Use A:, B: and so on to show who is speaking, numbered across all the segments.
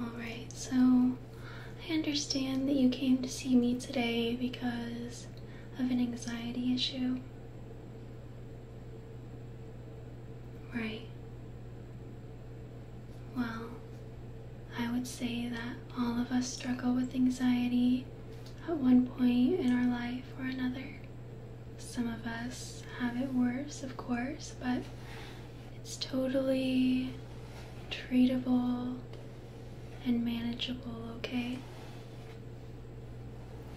A: Alright, so I understand that you came to see me today because of an anxiety issue. Right. Well, I would say that all of us struggle with anxiety at one point in our life or another, some of us have it worse, of course, but it's totally treatable and manageable, okay?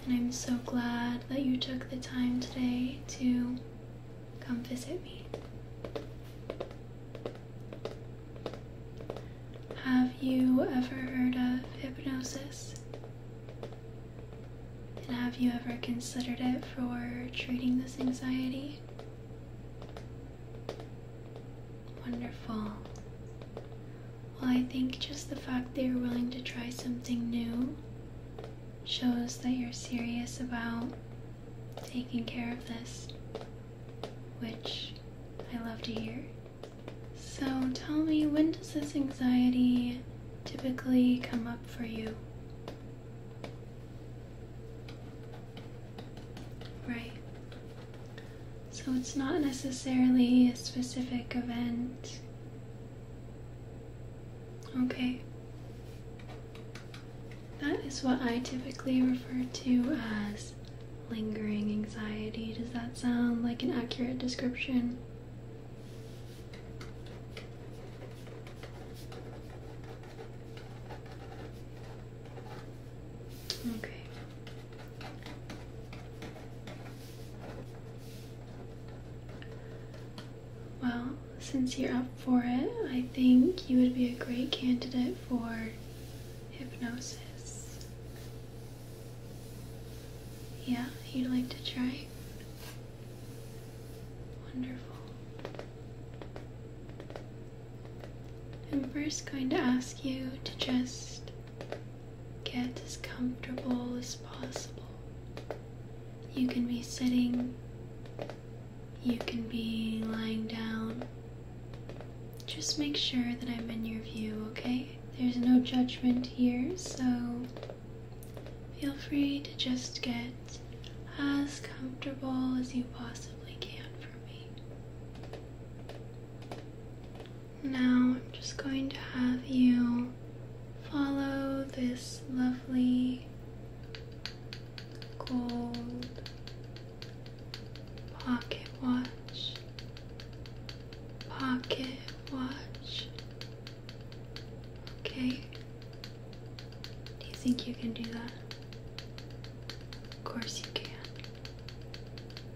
A: And I'm so glad that you took the time today to come visit me. Have you ever heard of hypnosis? And have you ever considered it for treating this anxiety? Wonderful. Well, I think just the fact that you're willing to try something new shows that you're serious about taking care of this, which I love to hear. So tell me, when does this anxiety typically come up for you? Right. So it's not necessarily a specific event. Okay. That is what I typically refer to as lingering anxiety. Does that sound like an accurate description? Okay. Well, since you're up for it, I think you would be a great candidate for hypnosis. Yeah, you'd like to try? Wonderful. I'm first going to ask you to just get as comfortable as possible. You can be sitting, you can be lying down, just make sure that I'm in your view, okay? There's no judgment here, so feel free to just get as comfortable as you possibly can for me. Now I'm just going to have you follow this lovely gold pocket watch pocket watch. Okay. Do you think you can do that? Of course you can.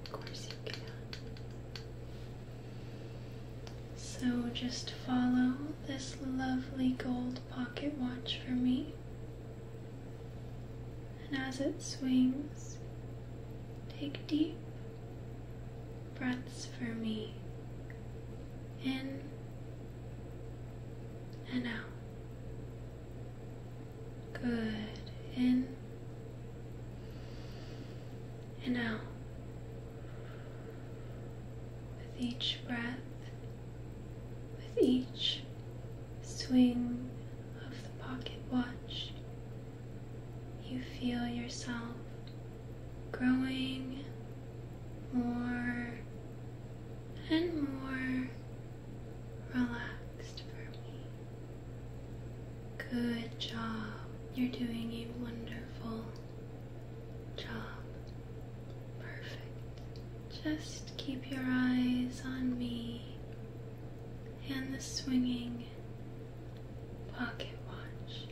A: Of course you can. So just follow this lovely gold pocket watch for me. And as it swings, take deep breaths for me in and out. Good. In and out. With each breath, with each swing of the pocket watch, you feel yourself growing more and more relaxed for me. Good job. You're doing a wonderful job. Perfect. Just keep your eyes on me and the swinging pocket watch.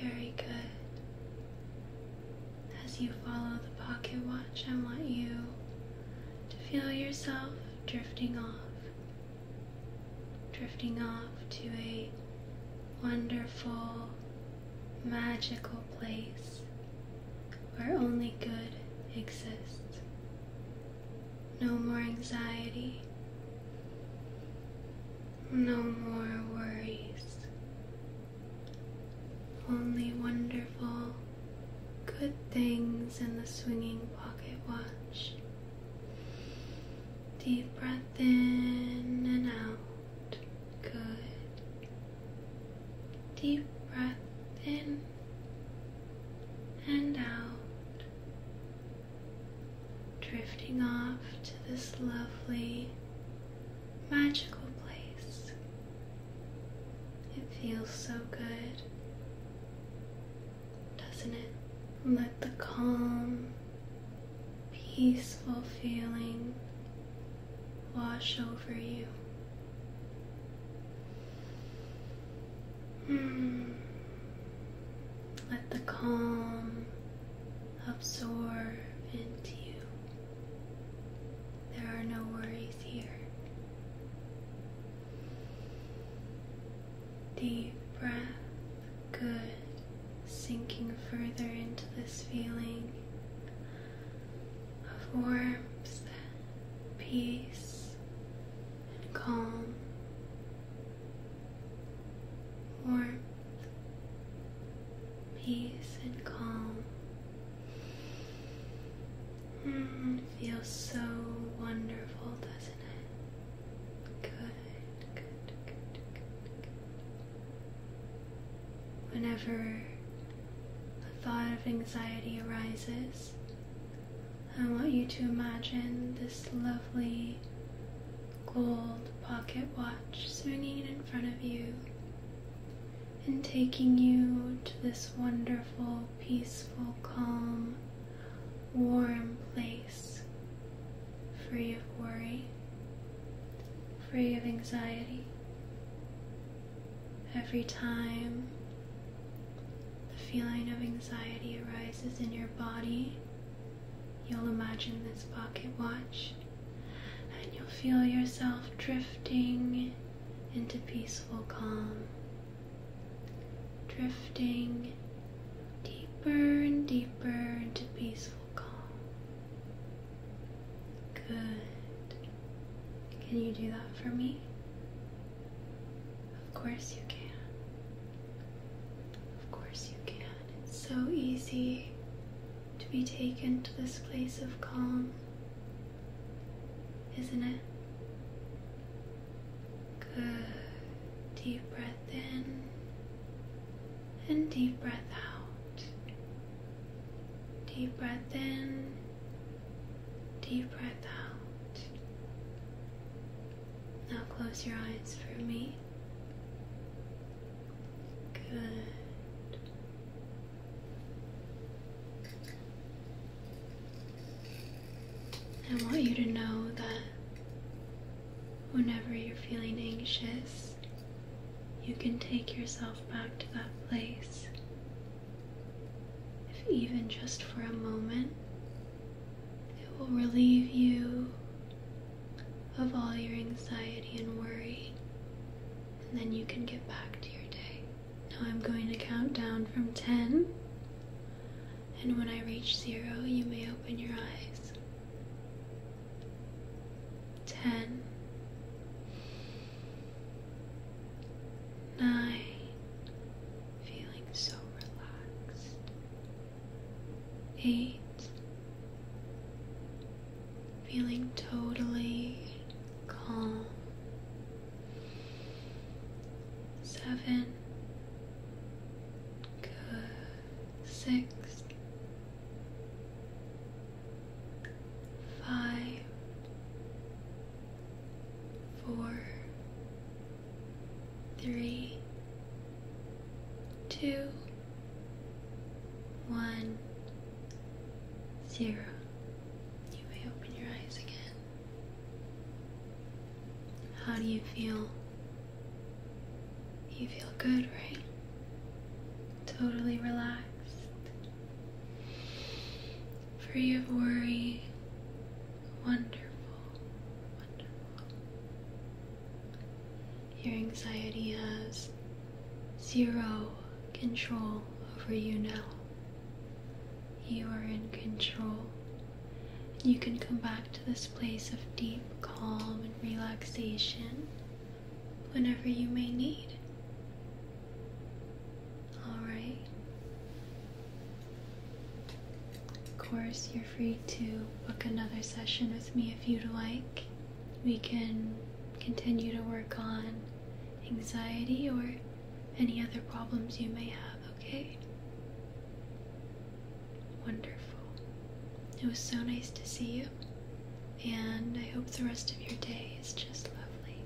A: Very good. As you follow the pocket watch, I want you to feel yourself drifting off, drifting off to a wonderful, magical place where only good exists. No more anxiety. No more worries. Only wonderful, good things in the swinging pocket watch. Deep breath in and out. Good. Deep breath in and out, drifting off to this lovely, magical place. It feels so good, doesn't it? Let the calm, peaceful feeling wash over you. Hmm. Let the calm absorb into you. There are no worries here. Deep breath, good. Sinking further into this feeling of warmth, peace, and calm, warmth, peace, and calm. Mm, feels so wonderful, doesn't it? Good, good, good, good, good. Whenever a thought of anxiety arises, I want you to imagine this lovely gold pocket watch swinging in front of you and taking you to this wonderful, peaceful, calm, warm place free of worry, free of anxiety. Every time the feeling of anxiety arises in your body, you'll imagine this pocket watch and you'll feel yourself drifting into peaceful calm, drifting deeper and deeper into peaceful calm. Good. Can you do that for me? Of course you can. Of course you can. It's so easy to be taken to this place of calm, isn't it? Good. Deep breath in and deep breath out. Deep breath in Deep breath out. Now close your eyes for me. Good. I want you to know that whenever you're feeling anxious, you can take yourself back to that place if even just for a moment, it will relieve you of all your anxiety and worry, and then you can get back to your day. Now I'm going to count down from 10, and when I reach zero, you may open your eyes. 10 feeling so relaxed. Eight, feeling totally calm. Seven, good. Six, five, four, three, two, one, zero. You may open your eyes again. How do you feel? You feel good, right? Totally relaxed free of worry. Wonderful, wonderful. Your anxiety has zero control over you now. You are in control. You can come back to this place of deep calm and relaxation whenever you may need. Alright. Of course, you're free to book another session with me if you'd like. We can continue to work on anxiety or any other problems you may have, okay? Wonderful. It was so nice to see you, and I hope the rest of your day is just lovely.